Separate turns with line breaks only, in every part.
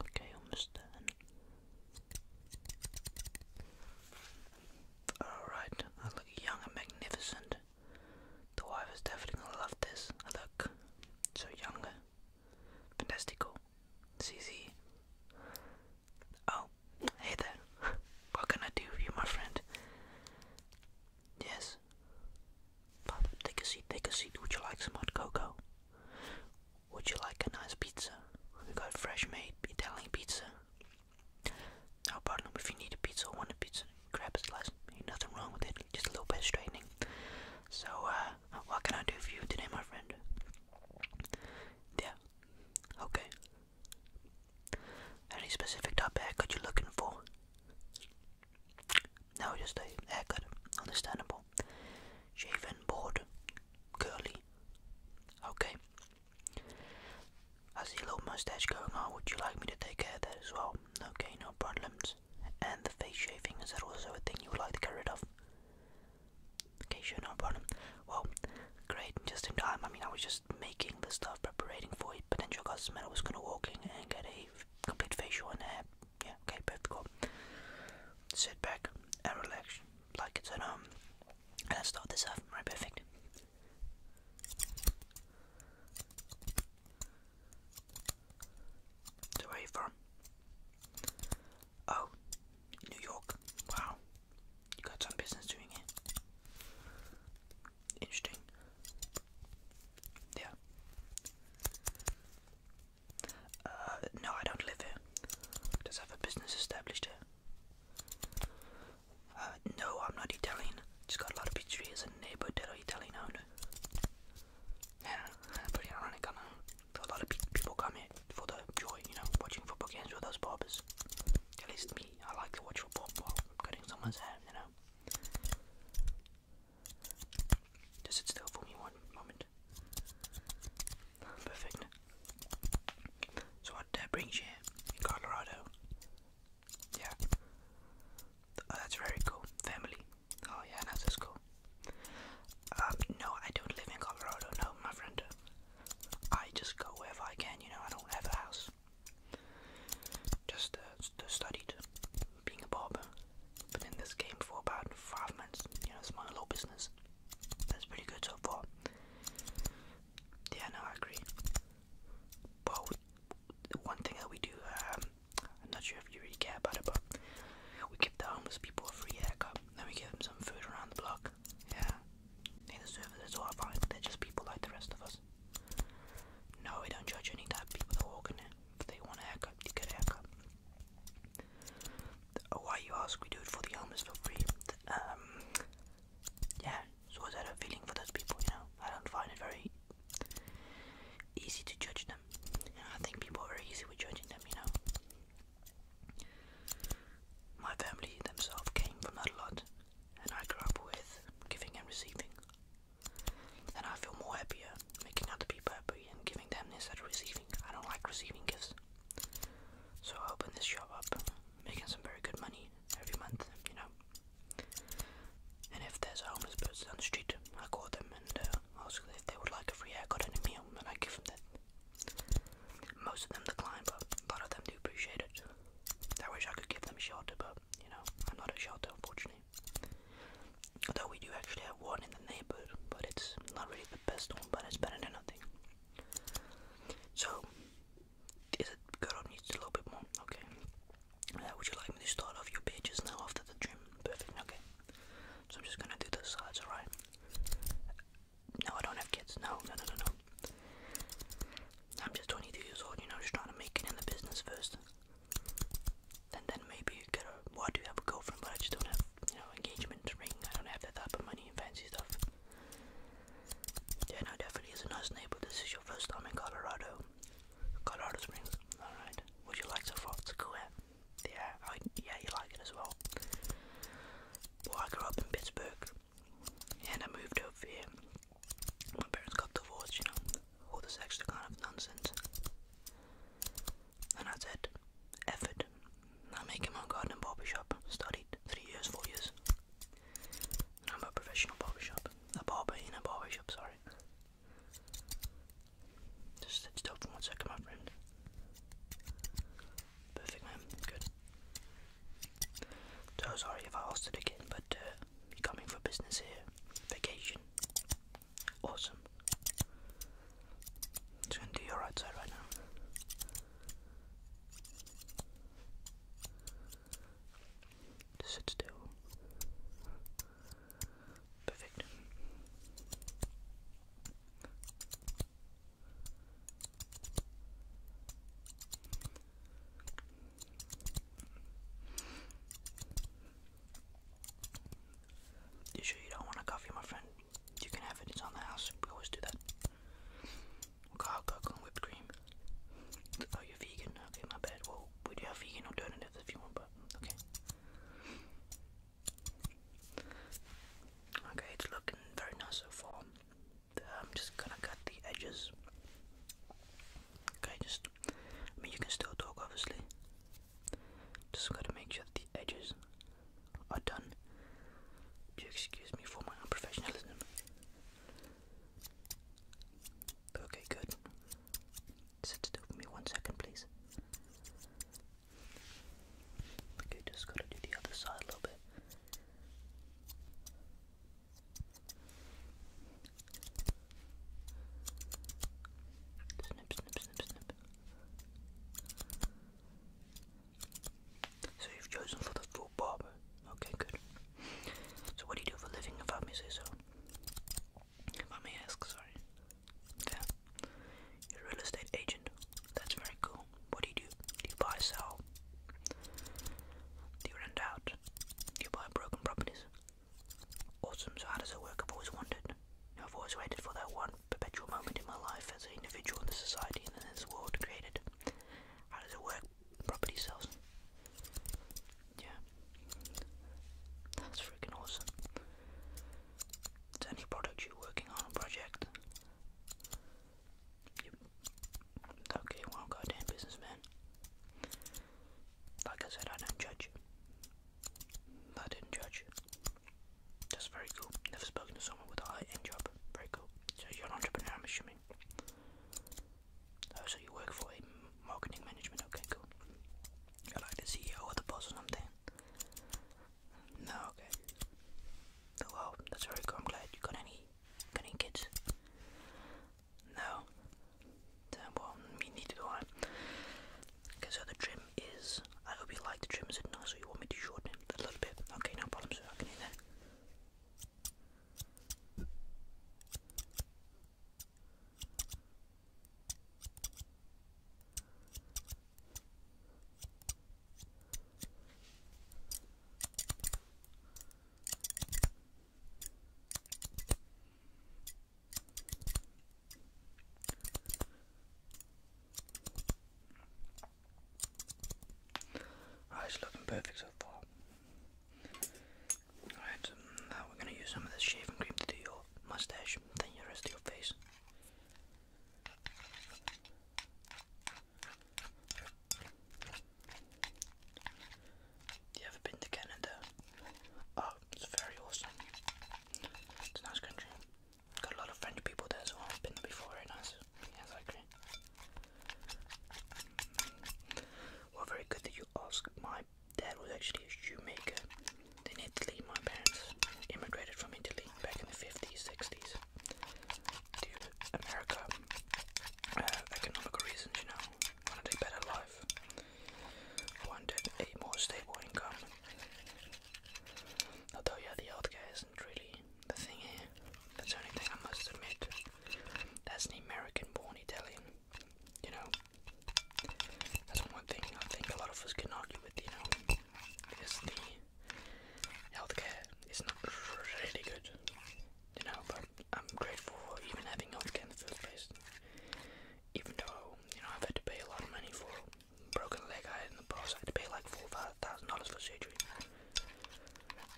Okay, almost Alright, I look young and magnificent. The wife is definitely gonna love this. I look so young. Fantastico. CZ. Oh, hey there. What can I do for you, my friend? Yes. take a seat, take a seat. Would you like some hot cocoa? Would you like a nice pizza? We got fresh made Italian pizza. No problem if you need a pizza or want a pizza, grab a slice. Ain't nothing wrong with it, just a little bit of straightening. So, uh, what can I do for you today, my friend? Yeah, okay. Any specific topic that you're looking for? Now just a haircut. Understandable. Shaven, bald, curly. Okay. I see a little mustache going on. Would you like me to take care of that as well? Okay, no problems. And the face shaving, is that also a thing you would like to get rid of? Okay, sure, no problem. Well, great, just in time. I mean, I was just making the stuff, preparing for you potential customer. I was gonna walk in and get a complete facial and hair. Yeah, okay, perfect. Sit back and relax like it's at um. And let's start this off. Right, perfect. where are you from? Oh, New York. Wow. You got some business doing it. Interesting. Yeah. Uh, no, I don't live here. Does have a business established here? Uh, no, I'm not Italian. Just got a lot of pizzerias and neighbor that are Italian owned. Yeah, pretty ironic, I know. So a lot of people come here for the joy, you know, watching football games with those barbers. At least me, I like to watch football while someone's hair, you know. Does it still for me one moment. Perfect. So what that brings you Colorado? Yeah. Oh, that's very cool. Family. Oh yeah, that's cool. Um, no, I don't live in Colorado. No, my friend. I just go wherever I can. You know, I don't have a house. Just uh, studied being a barber. Been in this game for about five months. You know, it's my little business. That's pretty good so far. Yeah, no, I agree. But one thing that we do, um, I'm not sure if you really care about it, but we give the homeless people a free haircut. Then we give them some food around the block. Yeah, they deserve it. That's all I They're just people like the rest of us. No, we don't judge any type of people that walk in here they want a haircut, you get a haircut. why you ask? We do it for the homeless for free. Um, yeah. So is that a feeling for those people? You know, I don't find it very easy to judge them. I think people are very easy with judging them. You know, my family themselves came from that lot, and I grew up with giving and receiving and I feel more happier making other people happy and giving them instead of receiving. I don't like receiving gifts. So I open this shop up, making some very good money every month, you know. And if there's a homeless person on the street, I call them and uh, ask if they would like a free haircut and a meal, and I give them that. Most of them decline, but a lot of them do appreciate it. I wish I could give them shelter, but you know, I'm not a shelter, unfortunately. Although we do actually have one in the neighborhood, but it's not really the best one, but it's better than nothing. So, is it needs a little bit more? Okay. Uh, would you like me to start off your pages now after the trim? Perfect, okay. So I'm just gonna do the sides, alright? No, I don't have kids. No, no, no, no, no. I'm just 22 years old, you know, just trying to make it in the business first. And then maybe get a. Well, I do have a girlfriend, but I just don't have, you know, engagement ring. I don't have that type of money and fancy stuff. Yeah, no, definitely is a nice neighbor. This is your first time in Colorado. Colorado Springs. Alright. What you like so far? It's yeah? yeah, you like it as well. Well, I grew up in Pittsburgh. And I moved over here. My parents got divorced, you know all this extra kind of nonsense. And that's it. Effort. I make in my garden barber shop. Studied three years, four years. I'm a professional barber shop. A barber in a barber shop, sorry. Just sit still for one second, my friend. Perfect, man. Good. So sorry if I asked it again, but uh, you are coming for business here? Vacation? Awesome. Just gonna do your right side right now. sit still. Perfect. You sure you don't want a coffee, my friend? You can have it, it's the house. We always do that. Okay, i and whipped cream. Oh, you're vegan? Okay, my bad. Well, we do have vegan alternatives if you want, but okay. Okay, it's looking very nice so far. I'm um, just gonna cut the edges. Okay, just I mean you can still talk obviously. Just gotta make sure that the edges are done. Do excuse me for my unprofessionalism? Okay, good. Sit still for me one second, please. Okay, just gotta do the other side a little bit. Snip, snip, snip, snip. So you've chosen for the full Okay, good. So what do you do for a living if I may say so? If I may ask, sorry. Yeah. real estate agent. That's very cool. What do you do? Do you buy, sell? Do you rent out? Do you buy broken properties? Awesome, so how does it work? I've always wondered. I've always waited for that one perpetual moment in my life as an individual in the society and in this world created. How does it work? Property sales. Yeah. That's freaking awesome. Is any product you're working on project? Okay, well, goddamn businessman. Like I said, I don't judge. I didn't judge. That's very cool. Never spoken to someone with a high end job. Very cool. So you're an entrepreneur, I'm assuming. Oh, so you work for marketing management. Okay, cool. You're like the CEO or the boss or something. No, okay. Oh, wow, that's very cool. I'm glad you got any, got any kids. No. Well, me neither do I. Okay, so the trim is. I hope you like the trim, is it nice? So you want me to shorten it a little bit? Okay, no problem, I can do that. Right, oh, it's looking perfect so far. Alright, um, now we're going to use some of this shaving cream to do your mustache, then the rest of your face. You ever been to Canada? Oh, it's very awesome. It's a nice country. Got a lot of French people there as well. I've been there before, very nice. Yes, I agree. Well, very good that you asked. My dad was actually a shoemaker in Italy. My parents immigrated from Italy back in the 50s, 60s to America. Uh, reasons, you know wanted a better life, wanted a more stable income. Although, yeah, the healthcare isn't really the thing here. That's the only thing I must admit. That's the American born you know. That's one thing I think a lot of us can argue with, you know, is the healthcare is not really good, you know, but I'm grateful even having healthcare in the first place even though you know I've had to pay a lot of money for broken leg I had in the past, I had to pay like four thousand dollars for surgery.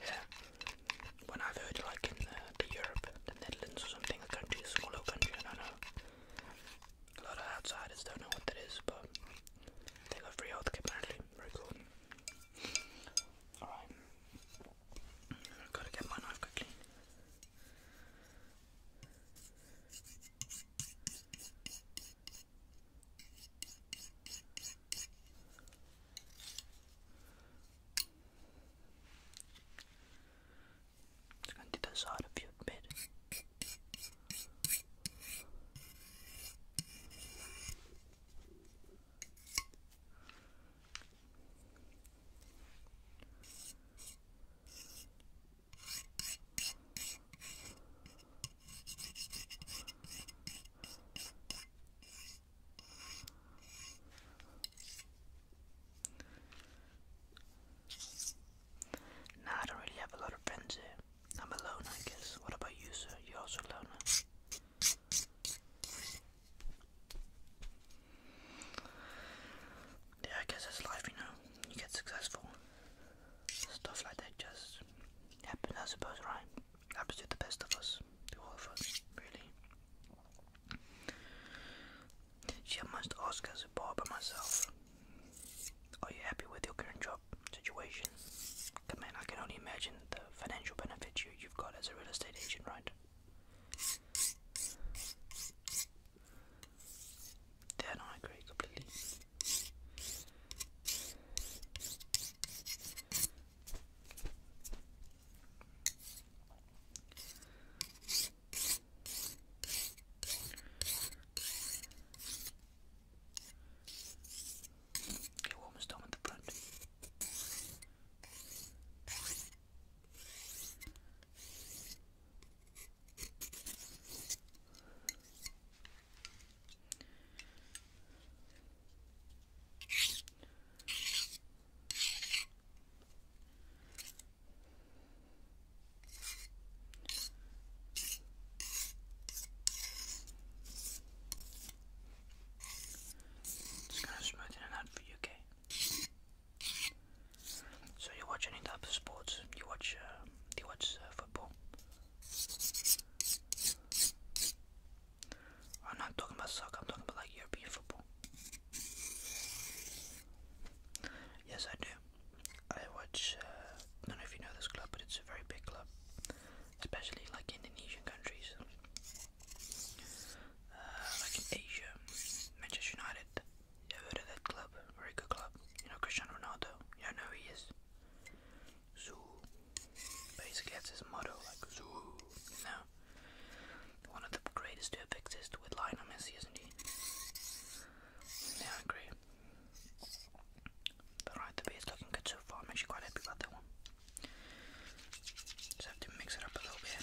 Yeah, when I've heard like in uh, the, Europe, the Netherlands or something, a country, a smaller country, I know. A lot of outsiders don't know what that is, but they got free healthcare apparently. Very cool. Alright. Gotta get my knife quickly. It's going to the side of your bed. Nah, I don't really have a lot of friends here. I'm alone, I guess. What about you, sir? You're also alone. Yeah, I guess it's life, you know. You get successful. Stuff like that just happens, I suppose, right? Happens to the best of us, to all of us, really. She must ask as a bar myself. Are you happy with your current job situation? Come man, I can only imagine the financial benefits you, you've got as a real estate agent, right? Then I agree completely. almost done with the front. It's gonna smooth it out for you, okay? So you watch any type of sports? You watch? Uh, you watch uh, football? I'm not talking about soccer. I'm talking about like European football. Yes, I do. I watch. Uh, I don't know if you know this club, but it's a very big club, especially like Indonesian countries, like in Asia, Manchester United. You heard of that club? Very good club. You know Cristiano Ronaldo? Yeah, know he is. Zoo. Basically, that's his motto, like Zoo. You know? One of the greatest to ever exist with Lionel Messi, isn't he? Yeah, I agree. But right, the beer is looking good so far. I'm quite happy about that one. Just have to mix it up a little bit.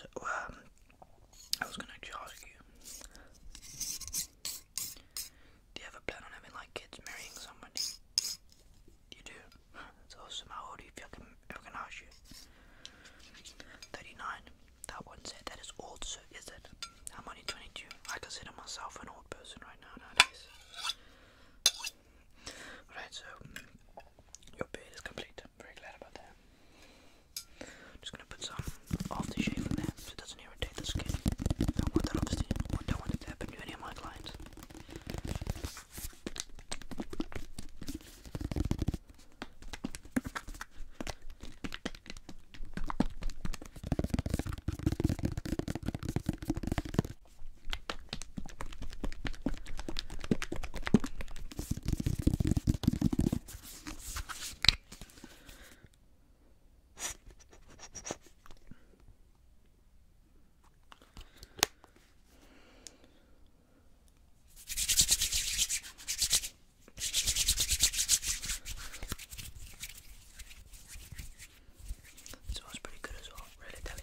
So, um, I was gonna actually ask you Do you ever plan on having like kids marrying somebody? You do? That's How old are you if can, if can ask you? 39. That one said that is old, so is it? I'm only 22. I consider myself an old person right now nowadays. Alright, so your beard is complete. I'm very glad about that. I'm just gonna put some aftershave in there so it doesn't irritate the skin. I want that obviously. I don't want it to happen to any of my clients. So it's pretty good as well, really telling.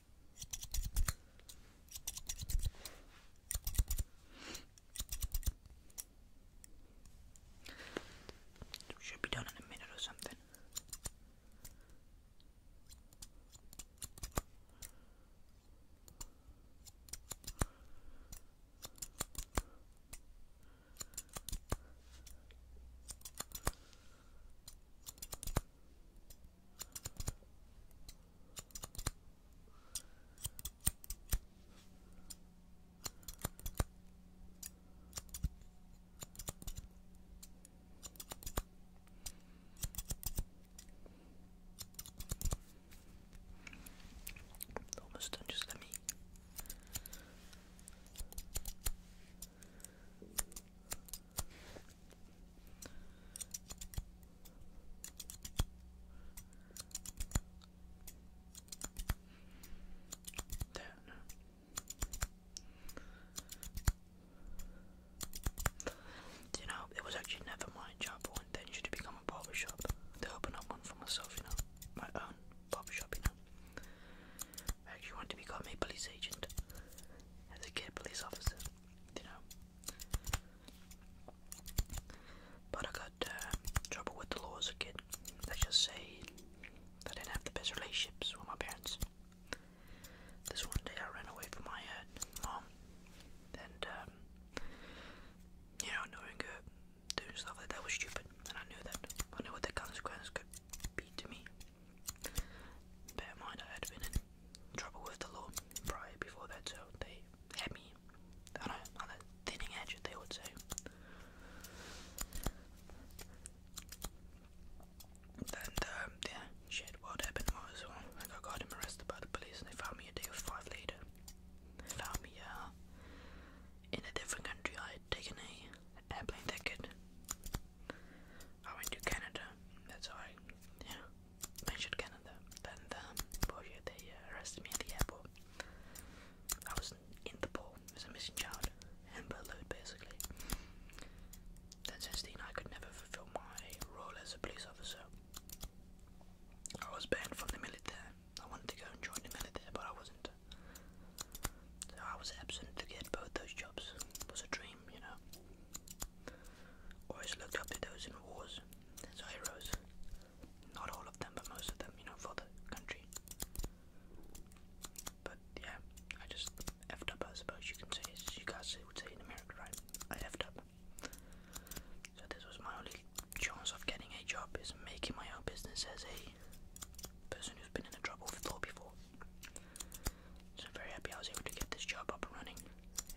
Should be done in a minute or something. Almost done, just let me. Then you know, it was actually never my job or intention to become a barber shop. To open up one for myself, you know, my own barber shop, you know. I actually wanted to become a police agent as a kid police officer you know. But I got uh, trouble with the law as a kid. Let's just say I didn't have the best relationships with my parents. This one day I ran away from my uh, mom, and um, you know, doing uh, doing stuff like that was stupid, and I knew that. I knew what the consequences could be to me. Bear in mind, I had been trouble with the law prior before that, so they had me on a, on a thinning edge, they would say. And um, yeah, shit, what happened was well, uh, I got, got him arrested by the police and they found me a day or five later. They found me uh, in a different country. I had taken a airplane ticket. I went to Canada. That's how I, yeah, mentioned Canada, and um, Boja, they uh, arrested me at the airport. I was in the pool as a missing child and burgled basically. Then since then I could never fulfill my role as a police officer. I was banned from the military. I wanted to go and join the military but I wasn't. So I was absent to get both those jobs. was a dream, you know. Always looked up to those in wars as heroes. Not all of them, but most of them, you know, for the country. But yeah, I just effed up, I suppose you can say. You guys would say in America, right? I effed up. So this was my only chance of getting a job is making my own business as a person who's been in trouble before. So I'm very happy I was able to get this job up and running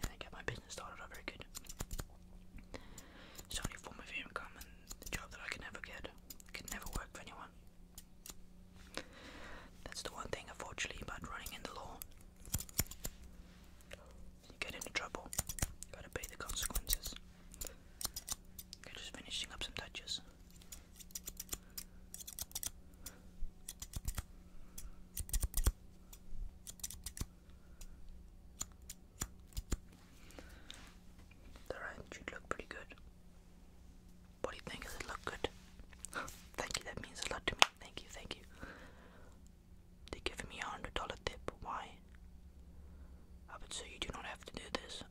and I got my business season started out very good. only form of income and the job that I could never get. I never work for anyone. That's the one thing, unfortunately, about running in the law. You get into trouble. You gotta pay the consequences. just finishing up some touches. The right should look pretty good. What do you think? Does it look good? thank you, that means a lot to me. Thank you, thank you. They give me a hundred dollar tip. Why? I would you do not have to do this.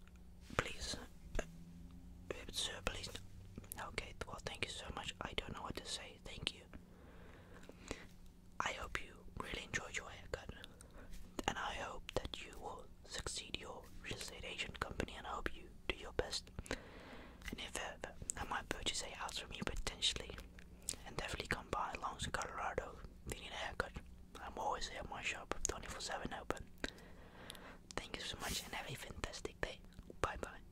Please. Uh, sir, please. Okay, well, thank you so much. I don't know what to say. Thank you. I hope you really enjoy your haircut, and I hope that you will succeed your real estate agent company, and I hope you do your best. And if ever I might purchase a house from you potentially, and definitely come by Longs to Colorado if you need a haircut. I'm always here at my shop 24 7 open. Thank you so much and have a fantastic day. Bye bye.